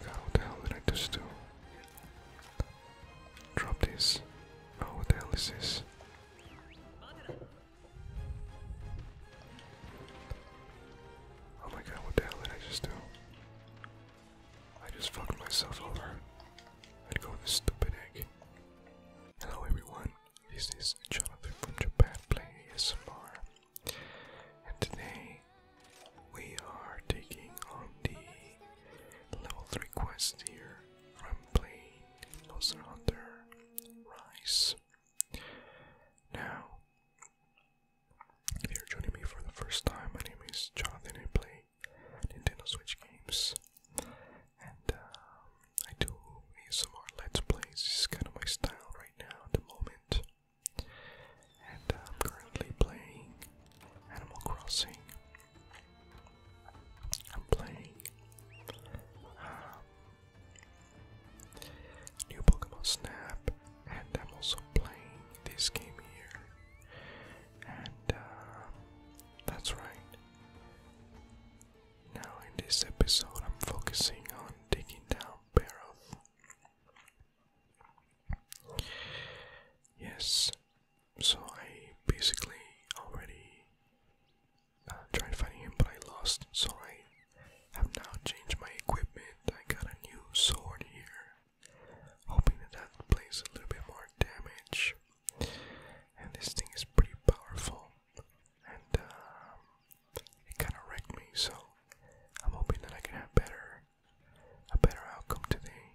What the hell did I just do? Drop this. Oh, what the hell is this? Oh my god, what the hell did I just do? I just fucked myself over. I'd go with this stupid egg. Hello everyone, this is Jonathan from Japan playing ASMR. And today we are taking on the level 3 quest here. from am playing Monster Rise. Now, if you're joining me for the first time, my name is Jonathan. I play Nintendo Switch games, and um, I do ASMR Let's Plays. This is kind of my style right now at the moment. And I'm currently playing Animal Crossing. I'm playing um, New Pokemon Snap, and I'm also playing this game here. And um, that's right. Now, in this episode, I'm focusing on taking down Barrow. Yes, so I basically already uh, tried fighting him, but I lost. So I have now changed my equipment. I got a new sword here, hoping that that plays a little bit more damage. And this thing is pretty powerful, and um, it kind of wrecked me. So I'm hoping that I can have better a better outcome today.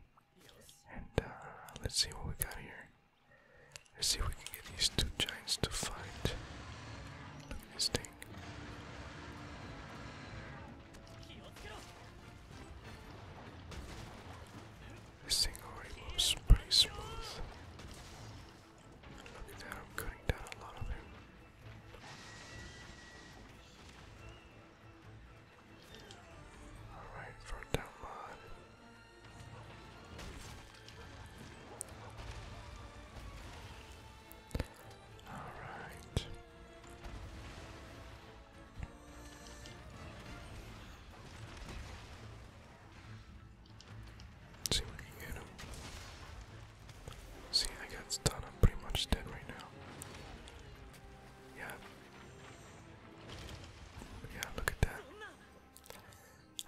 And uh, let's see what we got here. Let's see if we can get these two giants to fight. this thing. This thing already moves pretty smooth. Look at that, cutting down a lot of him. Alright, front down Alright. See if we can get him. See, I got stunned. I'm pretty much dead right now. Yeah. Yeah, look at that.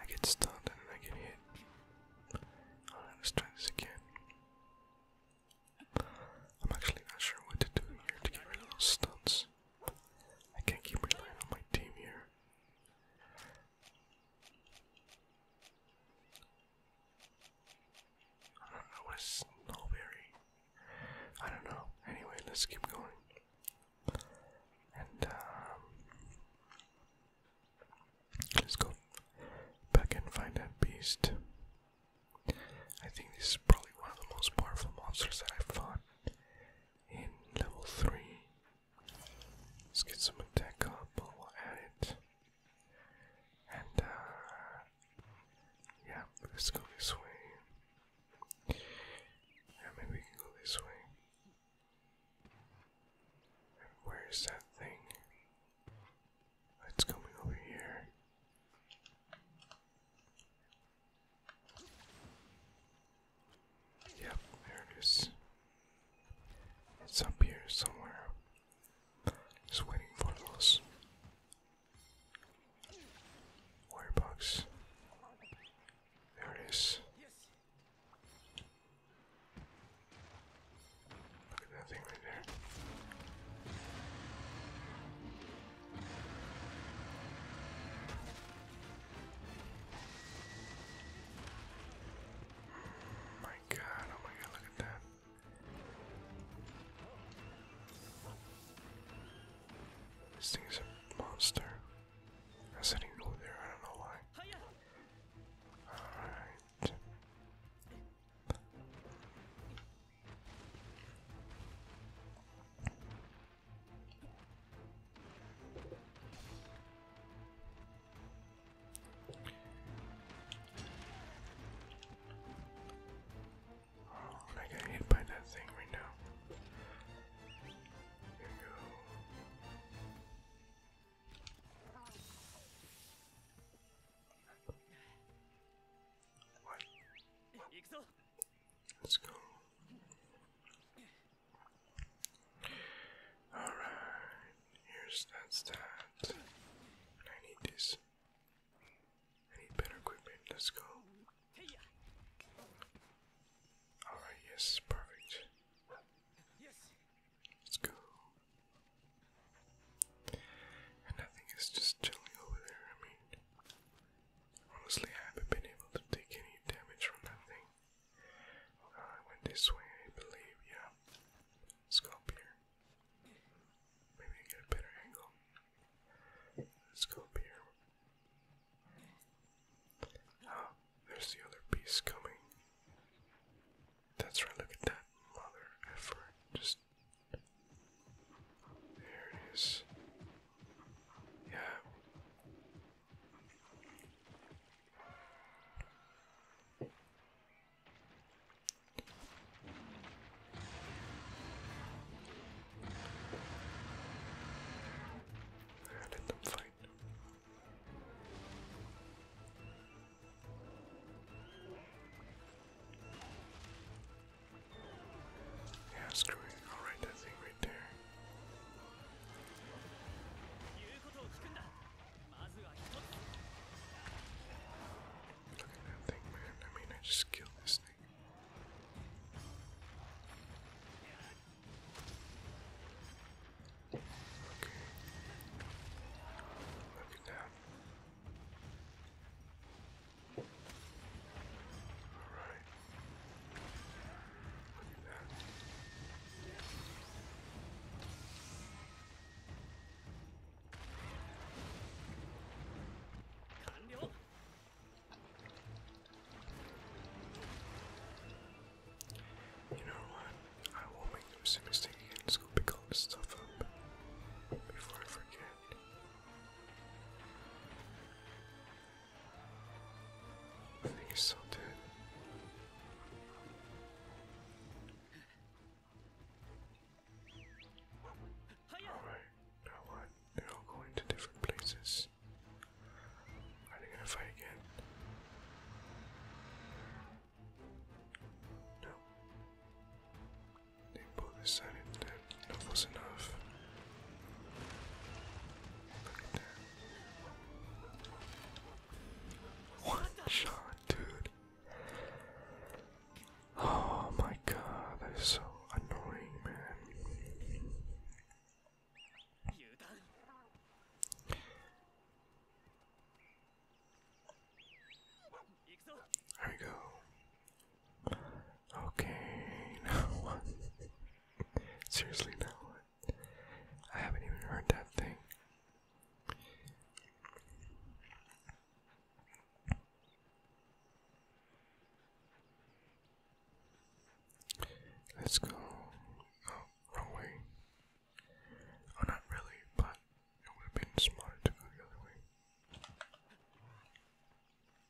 I get stunned and I get hit. let's try this again. I'm actually not sure what to do here to get rid of those stunts. I can't keep relying on my team here. I don't know what a snowberry. I don't know. Anyway, let's keep going. And um, let's go back and find that beast. I think this is probably one of the most powerful monsters that I have fought in level 3. Let's get some attack at it. And, uh, yeah, let's go this way. Yeah, maybe we can go this way. where is that thing? It's coming over here. Yep, there it is. It's up here somewhere. Just waiting for us. warrior bugs. There it is. Look at that thing right there. My God! Oh my God! Look at that. This thing is a monster. I said he go there, I don't know why. Alright. I got hit by that thing right now. Let's go. Alright, here's that stat. I need this. I better equipment. Let's go. Alright, yes, perfect. Let's go. And nothing is just chilling over there. I mean, honestly, haven't been able to take any damage from that thing. Uh, I went this way, I believe. Yeah. let Maybe get a better angle. Let's go up here. Oh, there's the other piece coming. That's right, look at that mother effort. Just. There it is. Yeah. Let them fight. Yeah, screw it. I'll write that thing right there. Look at that thing, man. I mean, I just killed this thing. Okay. Look at that. Alright. Look at that. You know what? I will make the mistake again. Let's go pick all this stuff up before I forget. I think he's still dead. Alright, now what? They're all going to different places. Are they gonna fight again? No. They both decided that enough was enough. One shot, dude. Oh my god, They're so annoying, man. There we go. Okay, now Seriously, now I haven't even heard that thing. Let's go. Oh, wrong Oh, not really, but it would have been smarter to go the other way.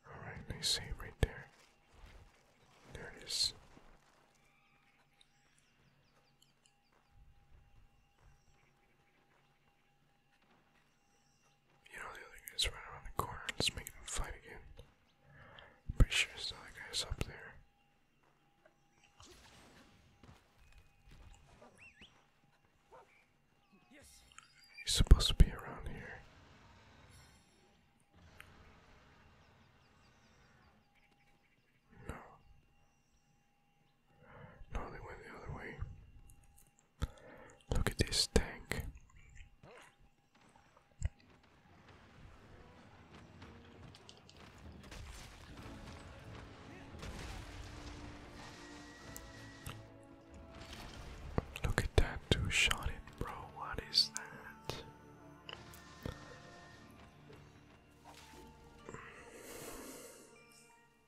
Alright, they say right there. There it is. You know the other guy's right around the corner. Let's make them fight again. pretty sure it's the guy's up there. He's supposed to be around here. No. No, they went the other way. Look at this tank. Look at that, two shot it, bro. What is that?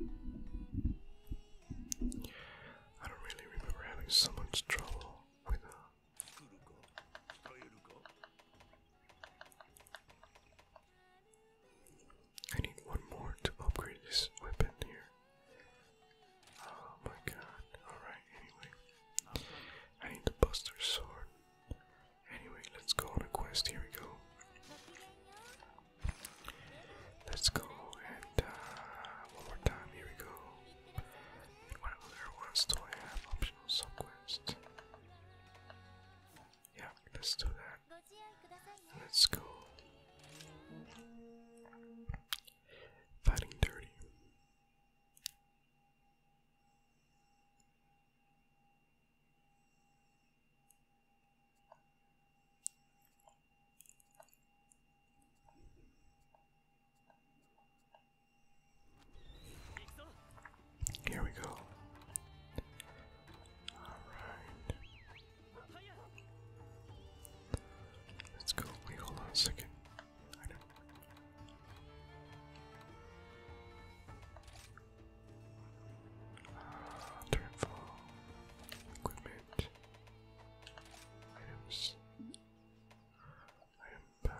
I don't really remember having so much trouble with her. Uh, I need one more to upgrade this weapon here. Oh my god. Alright, anyway. I need the Buster Sword. Anyway, let's go on a quest. Here we go. Let's go and uh, one more time. Here we go. what other ones do I have? Optional subquest. Yeah, let's do that. Let's go. Fighting dirty. Here we go. Alright. Let's go. Wait, hold on a second turn for equipment. Items. Item. Uh,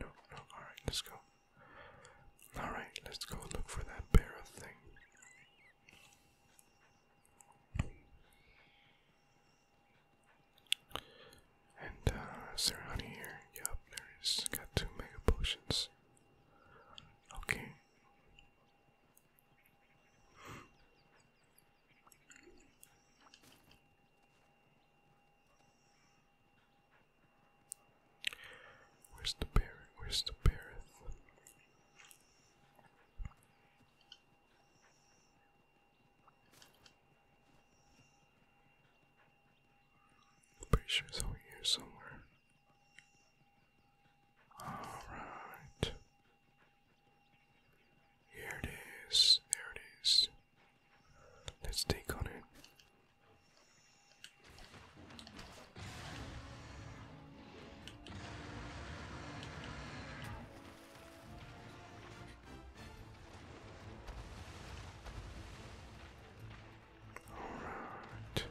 no, no. All right, let's go. All right, let's go look for that barrel thing. And uh, is there honey Got two mega potions. Okay. Where's the bear? Where's the bear? I'm pretty sure it's over here somewhere. Alright. Here it is. There it is. Let's take on it. Alright.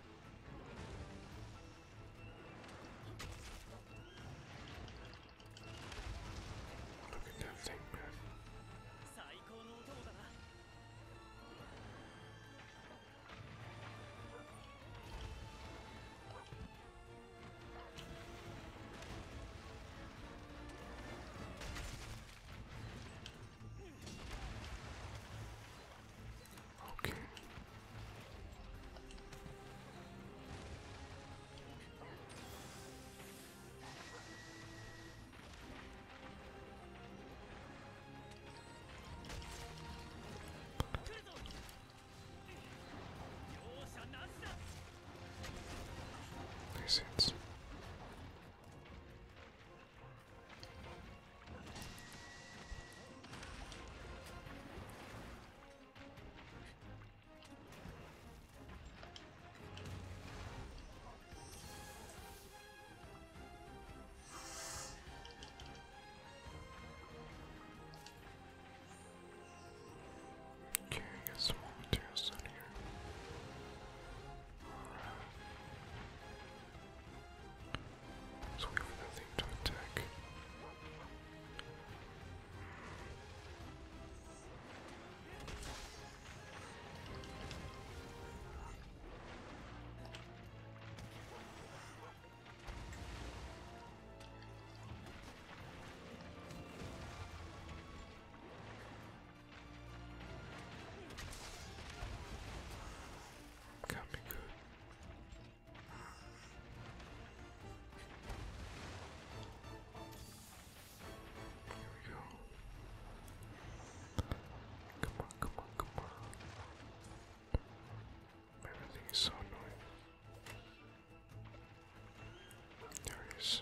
Look at that thing, man. Okay. Nice hits. Okay, I got some more materials down here. Alright. Let's wait for that thing to attack. Can't be good. Here we go. Come on, come on, come on. Everything is so annoying. There it is.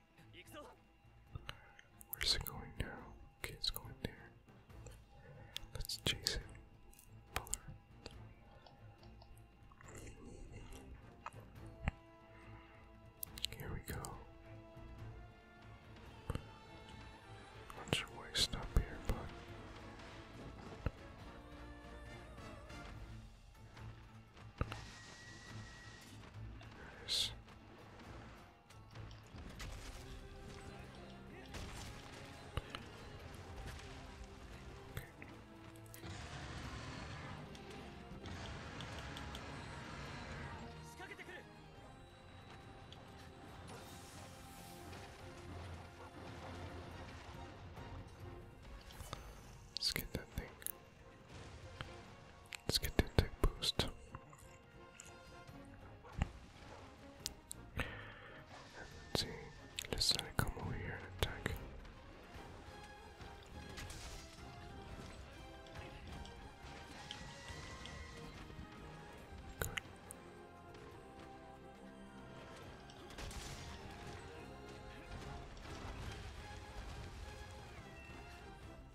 Where's it going now? Okay, it's going there. Let's chase it. Bother. Here we go. Not sure why I here, but there Let's get that thing. Let's get that thing boost. Let's see, just let it come over here and attack.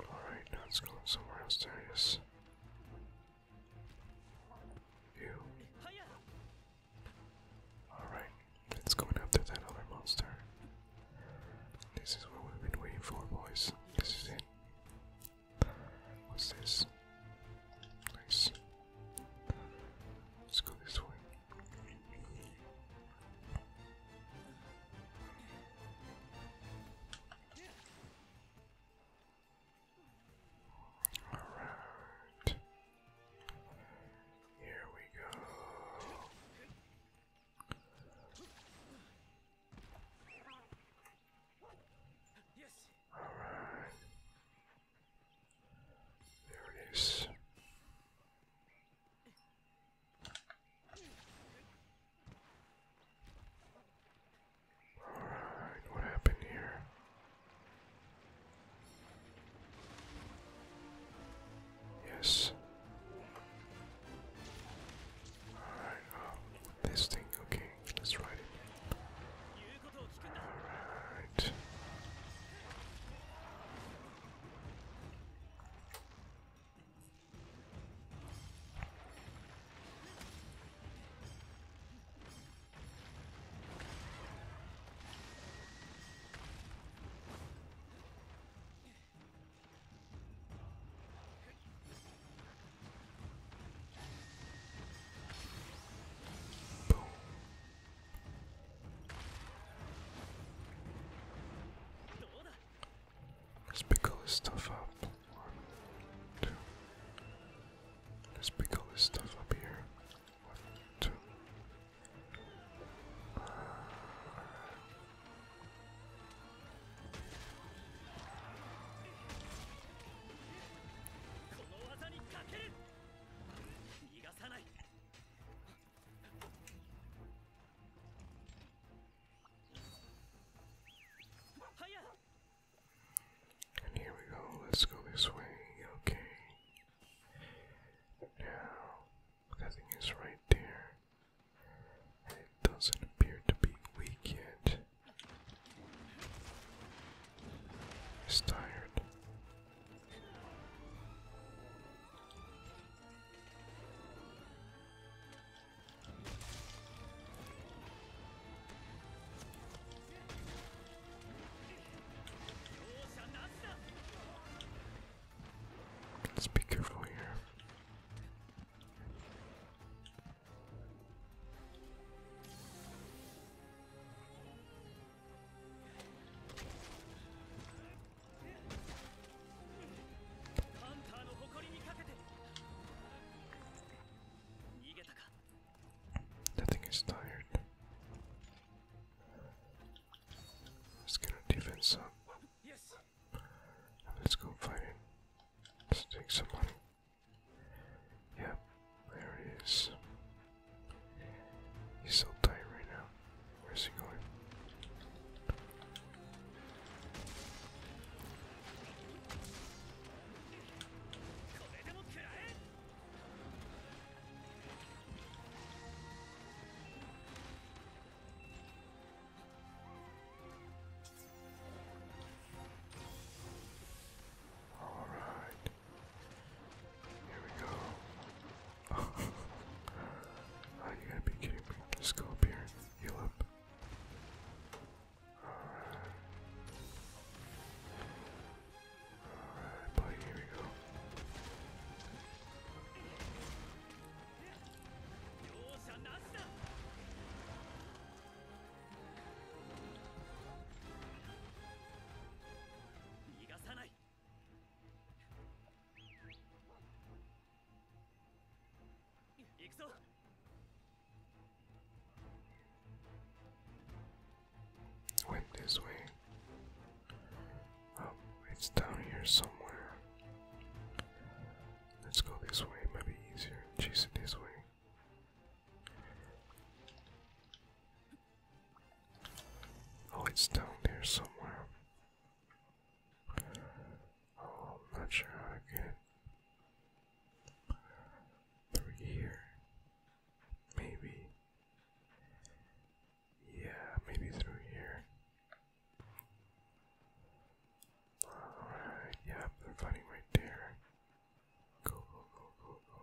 Alright, now it's going somewhere else, there You. Alright, let's go after that other monster. This is what we've been waiting for, boys. This is it. What's this? Nice. Let's go this way. Alright. Here we go. Yes. All right. There it is. All right. What happened here? Yes. Alright, oh, this thing, okay, let's ride it. Alright. Let's pick all this stuff up. let Let's pick all this stuff up here and here we go, let's go this way, okay. Now, that thing is right there. it doesn't appear to be weak yet. It's tired. Let's be careful here. I think he's tired. Let's get our defense up. Yes. Let's go fight Let's take some Yep, there it is. He's so tight right now. Where's he going? All right. Here we go. Are you gonna be kidding me? Just go up here and heal up. Alright, buddy, here we go. Went this way. Oh, it's down here somewhere. Let's go this way, might be easier. Chase it this way. Oh, it's down there somewhere. Oh, I'm not sure how to get through here. Maybe. Yeah, maybe through here. Alright, yeah, they're fighting right there. Go, go, go, go, go.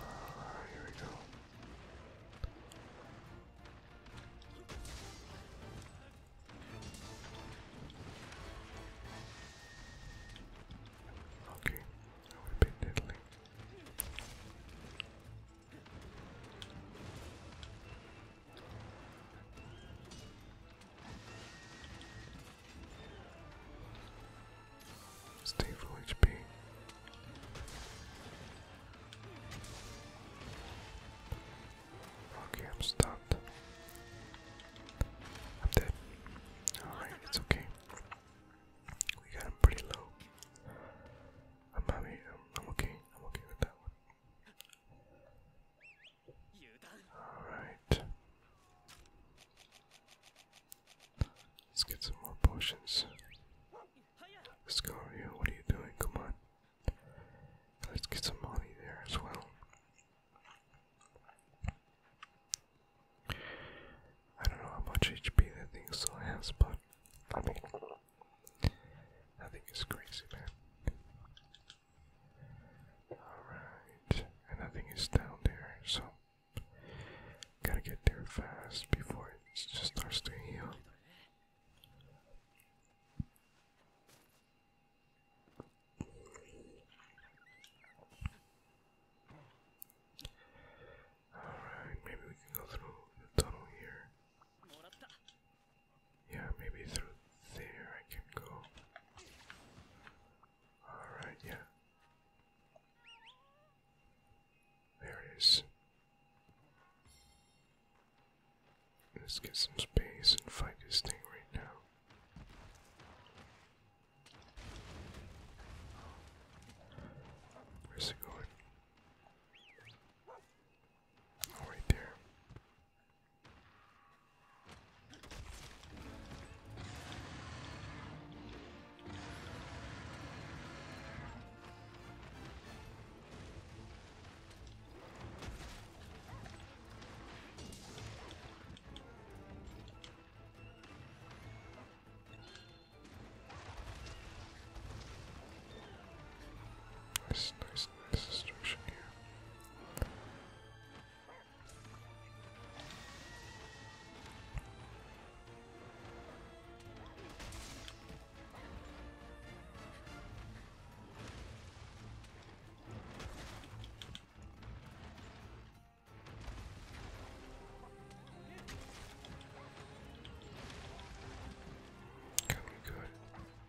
Uh, here we go. Okay, I would have been diddling. Stay full HP. Okay, I'm stopped. I'm dead. Alright, it's okay. We got him pretty low. I'm happy. I'm okay. I'm okay with that one. Alright. Let's get some more potions. Let's go, Ryu. What are you doing? Come on. Let's get some money there as well. I don't know how much HP that thing still has, but I mean, I think it's crazy, man. Alright, and I think down there, so gotta get there fast before it just starts to heal. Alright, maybe we can go through the tunnel here. Yeah, maybe through there I can go. Alright, yeah. There it is. Let's get some space and fight this thing right now. Where's it going? Oh, right there. Nice, nice there's destruction here. Can we go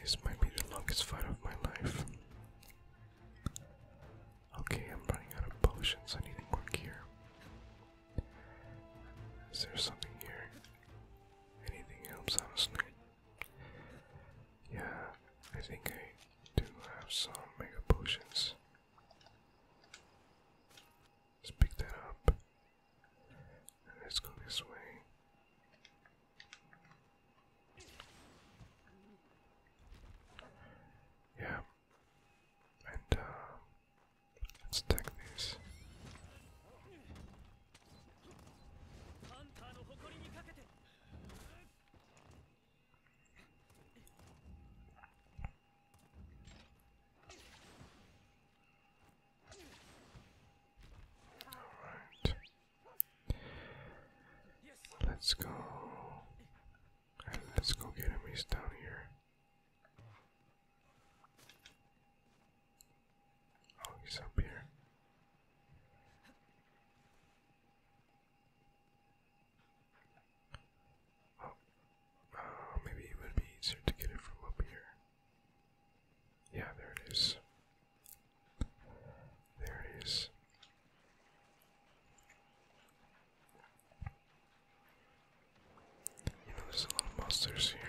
This might be the longest fight of my life. Okay, I'm running out of potions. I need to work here. Is there something here? Anything else, snake. Yeah, I think I do have some mega potions. Let's pick that up. And let's go this way. Yeah. And uh, let's take this. ハンターの誇りにかけて Alright. Let's go. Right, let's go get him. He's down here. Oh, he's up here. Oh, uh, maybe it would be easier to get it from up here. Yeah, there it is. There it is. You there's a lot of monsters here.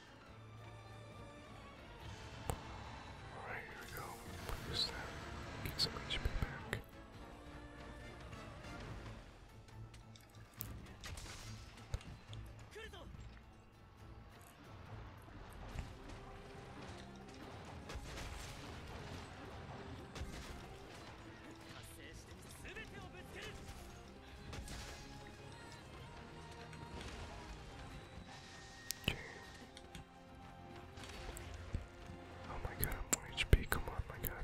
Alright, here we go. We'll use that. Get some HP back. Oh my god, i HP, come on, my god.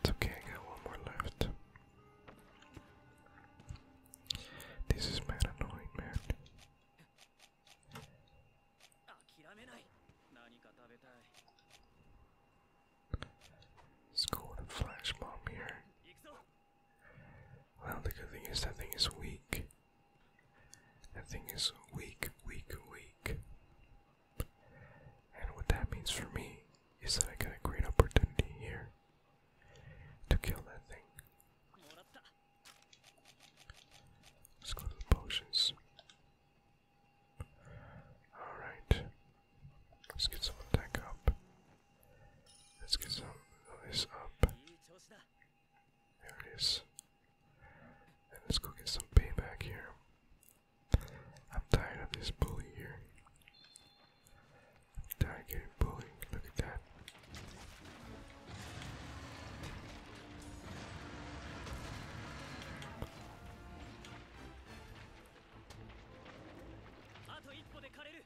It's okay, I got one more left. This is mad annoying, man. Let's go with a flash bomb here. Well, the good thing is that thing is weak. That thing is weak, weak, weak. And what that means for me is that I got a great opportunity here to kill that thing. Let's go to the potions. Alright. Let's get some attack up. Let's get some of this up. There it is. let's go get some payback here. I'm tired of this bully here. tired of getting bullied. Look at that. あと一歩で枯れる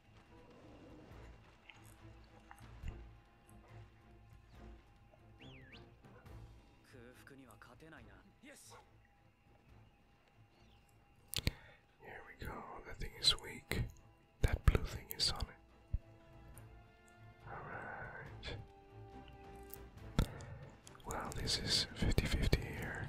Here we go. That thing is weak. That blue thing is on it. Alright. Well, this is 50 here.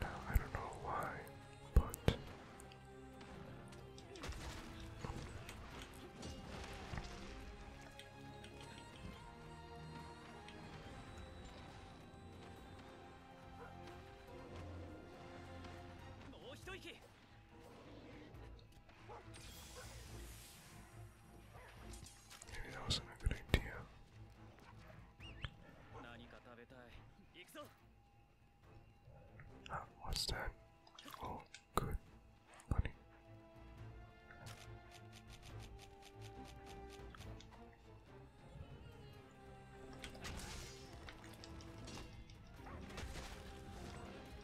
Now, I don't know why, but that wasn't a good idea. what's that? Oh, good. Honey.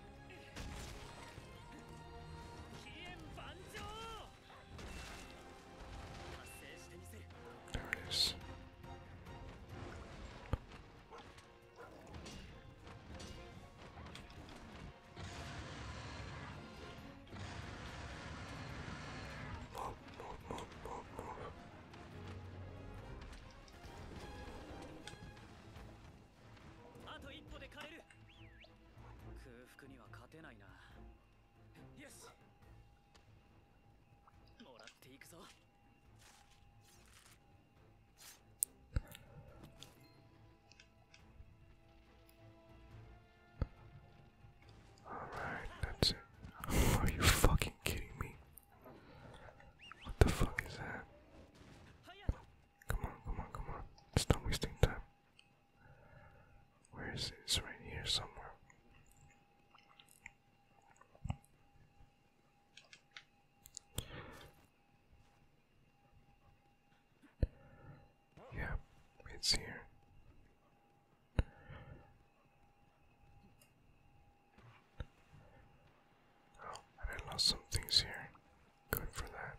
There it is. Move, move, move, move, move. あと一歩で枯れる空腹には勝てないなよしもらっていくぞ Alright, that's it. Are you fucking kidding me? What the fuck is that? Come on, come on, come on. Stop wasting time. Where is it? It's right here somewhere. Yeah, it's here. Oh, I lost some things here. Good for that.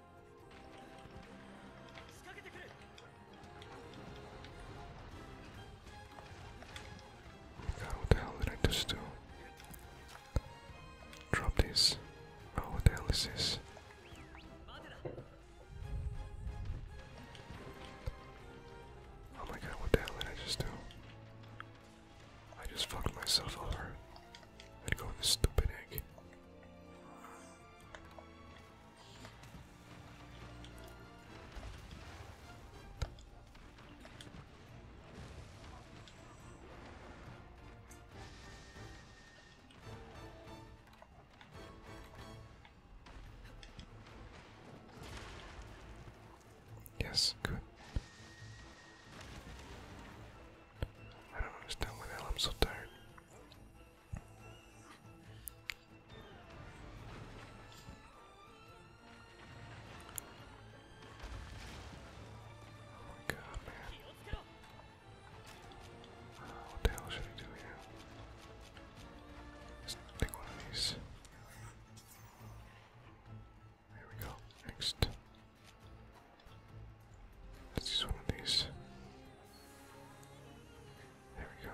what the hell did I just do? Drop this. Oh, what the hell is this? Oh my god, what the hell did I just do? I just fucked myself over. I'd this stupid egg. Yes, good. I don't understand why the hell I'm so tired. Oh my god, man. Uh, what the hell should I do here? let one of these. There we go. Next. Let's just one of these. There we go.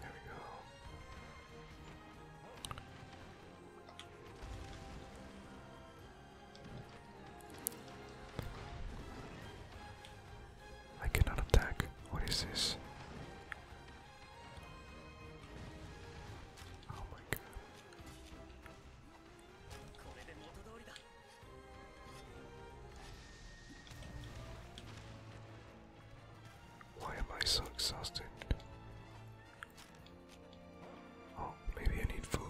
There we go. I cannot attack. What is this? Why am I so exhausted? Oh, maybe I need food.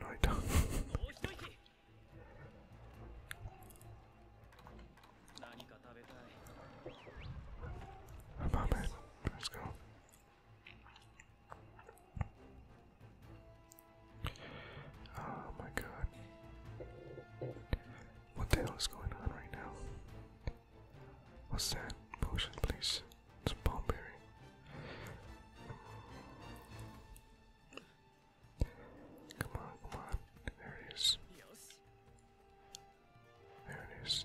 No, I don't. Let's go. Oh my god. What the hell is going on right now? What's that? Potion, please. It's palm berry. Come on, come on. There it is. There it is.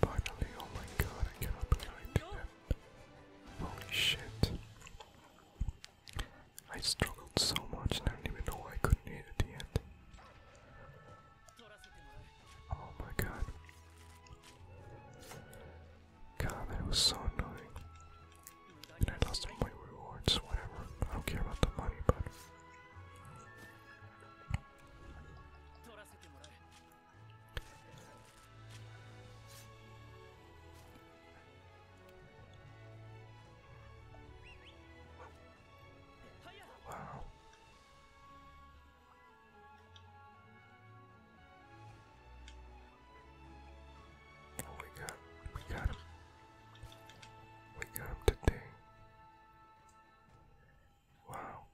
Finally, oh my god, I cannot believe I did that. Holy shit. I struggled so much and I don't even know why I couldn't hit at the end. Oh my god. God, that was so annoying. And I lost all my rewards, whatever. I don't care about the money, but. Wow. Oh, we got, we got him. We got him today. Wow.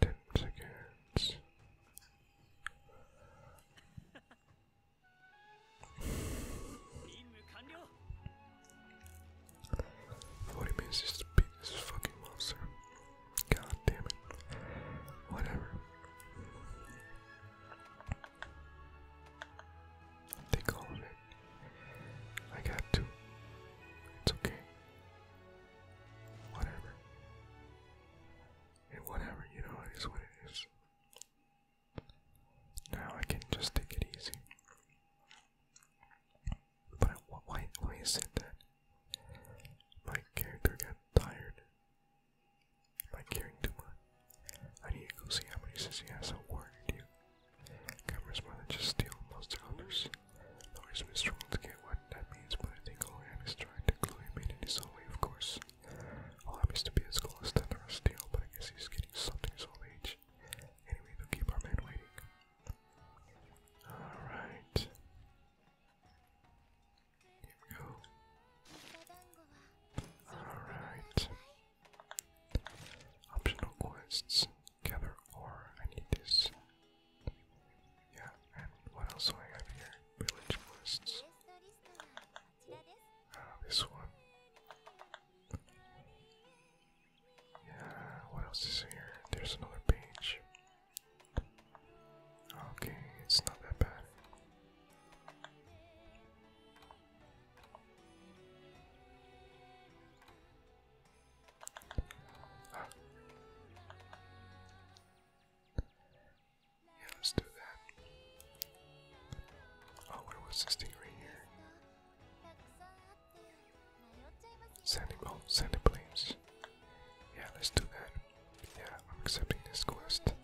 Ten seconds. What it means is to beat this fucking monster. God damn it. Whatever. They call it. I got two. It's okay. Whatever. And whatever, you know, it is what it is. Now I can just take it easy. But why, why is it that my character got tired? Am I caring too much? I need to go see how many says he has at work, dude. Cameras want to just steal most others. Though he's been to get what that means, but I think all is trying to glue him in in his own of course. All happens to be as close as that or steal, but I guess he's getting something his old age. Anyway, we'll keep our man waiting. Alright. Here we go. Alright. Optional quests. Gather ore. I this. Yeah, and what else do I have here? Village quests. Uh, this one. Yeah, what else is here? There's another page. Okay, it's not that bad. Yeah, let's do that. Oh, what was this thing right here? Send Sandy, send the planes. Yeah, let's do that. Yeah, I'm accepting this quest.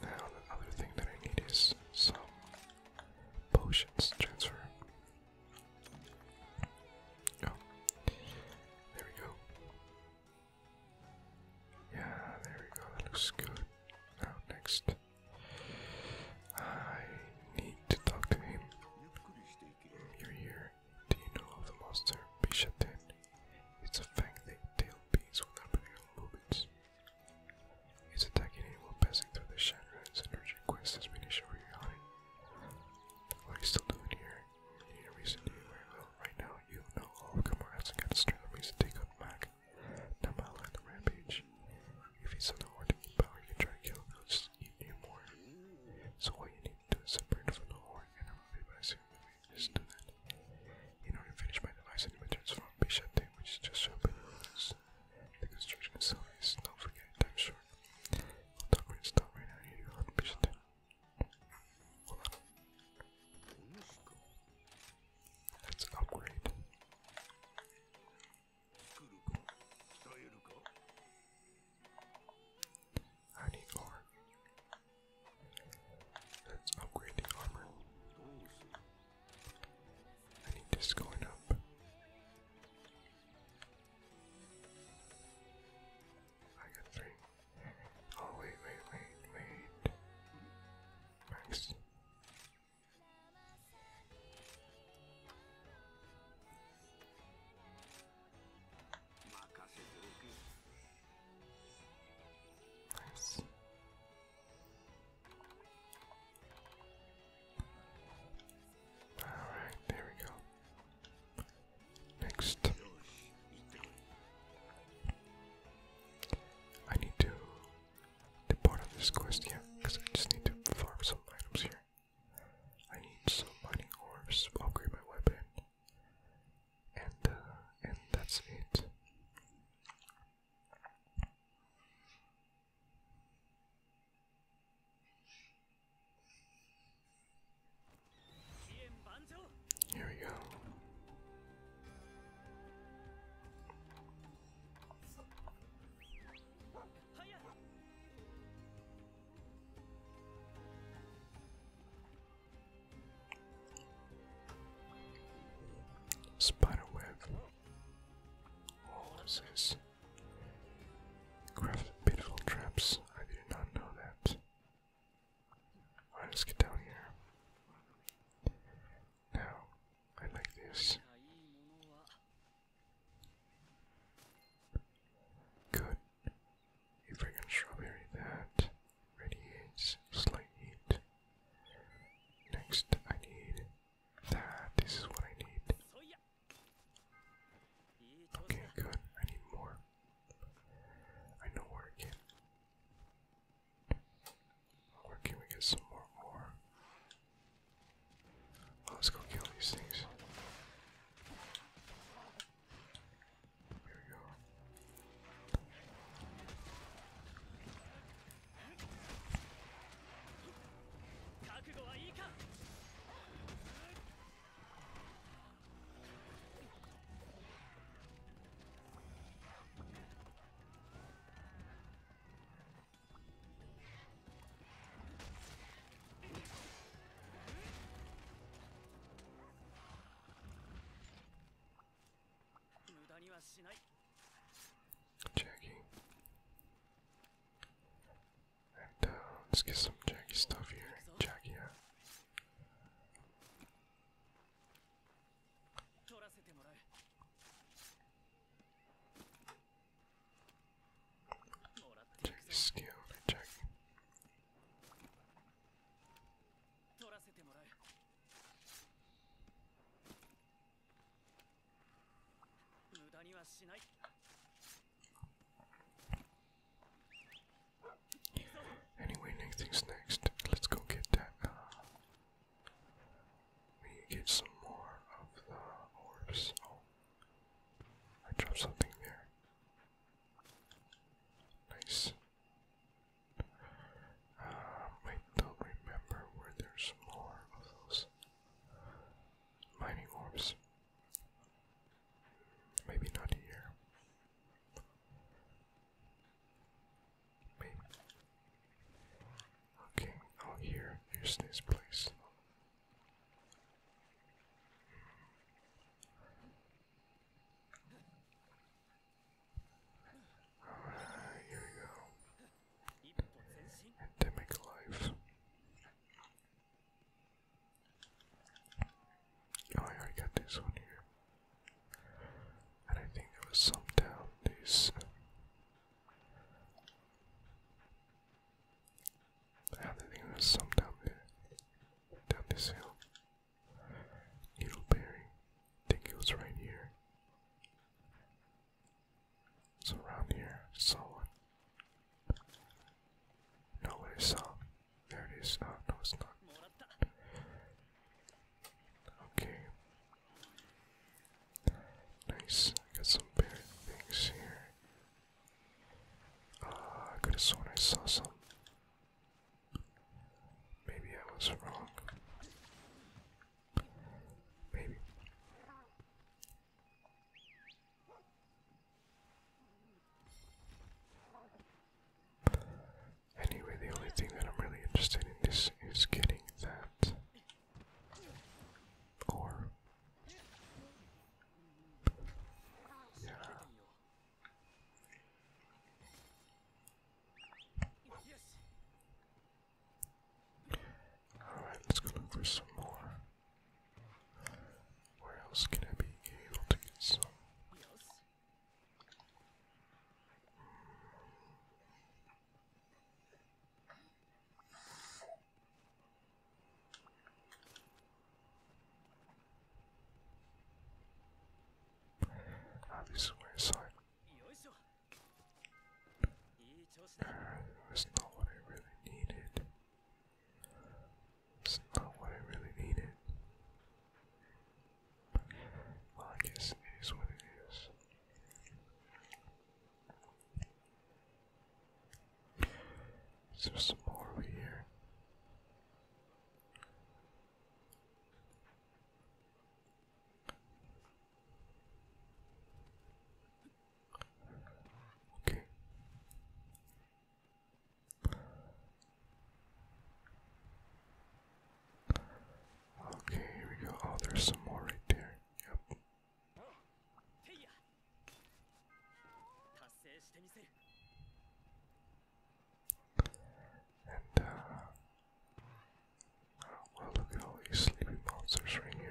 Now, the other thing that I need is some potions transfer. Oh, there we go. Yeah, there we go. looks good. Now, next. I need to talk to him. You're here. Do you know of the monster Bishaten? It's a fang-tailed beast with abnormal movements. It's attacking anyone passing through the Shanran's energy quest has been issued for your hunting. What are you still doing here? You need a reason to be very Right now, you know all of Gamora hasn't got a straight reason to take on Mac. Namala on the rampage. If it's not hard to eat power, can try to kill it, just eat you more. So what you need to separate from the horde and I'm a by seeing that. In order to finish my device, I need to transform Bishate, which is just so big. The construction itself is, don't forget, time short. I'll talk right stop right now, I need to Let's upgrade. I need more. Let's upgrade the armor. I need this going up. I got three. Oh wait, wait, wait, wait. Max. Nice. All right, there we go. Next, I need to the part of this quest yeah, because I just need to farm some items here. I need some mining orbs to upgrade my weapon, and uh, and that's it. Here we go. Spiderweb. Oh, this? Crafted beautiful traps. I did not know that. Alright, let get down here. Now, I like this. Good. A fragrant strawberry that radiates slight Next, I need that. This is what I need. Okay, good. I need more. I know where I Where can we get some More. Let's go kill these things. Here we go. Jackie. And uh, let's get some Jackie stuff here. Jackie, yeah. Check skill, check. Anyway, next thing's next. Let's go get that we get some more of the orbs. Oh, I dropped something there. Nice. Um, I don't remember where there's more of those mining orbs. Maybe not here. Maybe. Okay, oh here, here's this please. Alright, here we go. Endemic life. Oh, I got this one here. And I think there was some down this I think there's some down Down this hill. Needleberry. think it was right here. It's around here. I saw one. No, what I saw. There it is. Oh, no, it's not. Okay. Nice. I got some bear things here. Uh, I could have sworn I saw some. Maybe I was wrong. Maybe. Anyway, the only thing that I'm really interested in this is getting that or yeah. Alright, let's go look some more. Where else can I be able to get some? Ah, this way, sorry. Uh, that's not what I really needed. It's not what I really needed. Well, I guess it is what it is. Is some more over here? Okay. Okay, here we go. Oh, there's some more right there. Yep. Uh, well, look at all these sleeping monsters right here.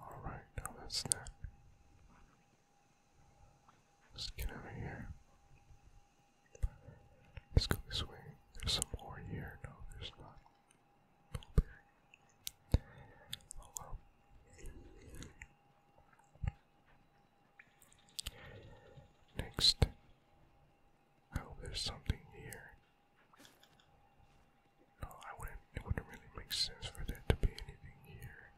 Alright, now that's that. let get out here. Let's go this way. There's some more here. No, there's not. Blueberry. Oh Next. I hope there's something here. No, I wouldn't. It wouldn't really make sense for there to be anything here.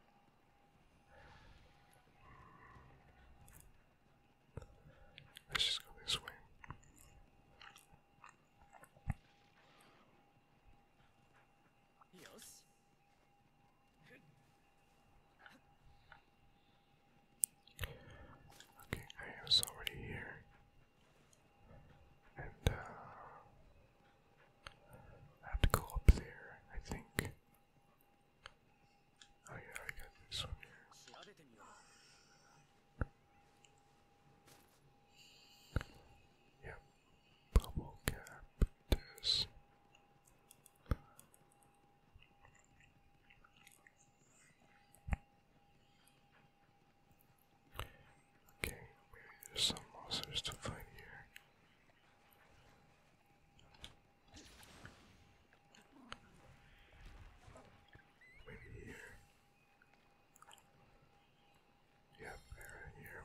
Let's just go this way. Okay, I was already here. Uh, I have to go up there, I think. Oh yeah, I got this one Yep, bubble cap Okay, maybe there's some monsters to fight here. Maybe here. Yep, they here.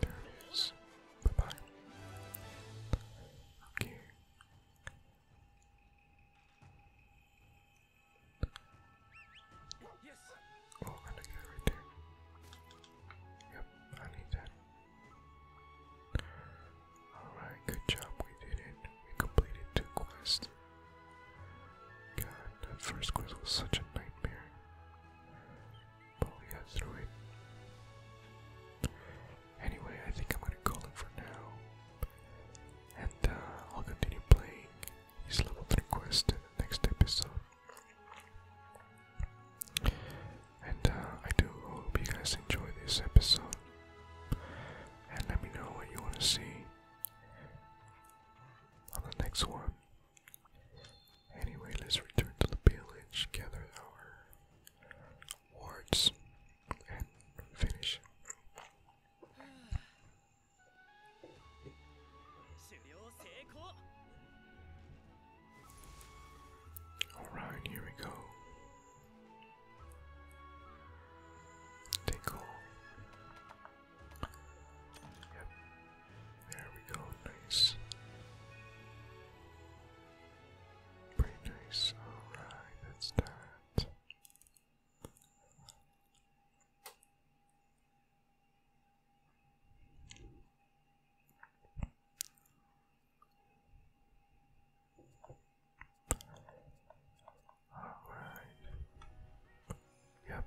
There it is. Bye bye. Okay. Yes. Oh, I'm it right there. Yep, I need that. Alright, good job, we did it. We completed two quests. God, that first quest was such a nightmare. But we got through it. Anyway, I think I'm gonna call it for now. And uh, I'll continue playing these level 3 quests in the next episode. And uh, I do hope you guys enjoy this episode. And let me know what you want to see on the next one. Anyway, let's return to the village, gather our wards, and finish. Alright, here we go. Tinkle. Yep. There we go. Nice. Pretty nice. Alright, that's that. Alright. Yep.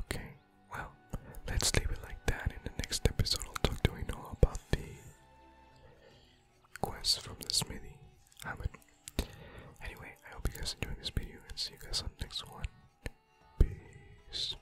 Okay, well, let's leave it like that. In the next episode, I'll talk to you all about the quest from the smithy. I anyway, I hope you guys enjoyed this video and see you guys on next one. Peace.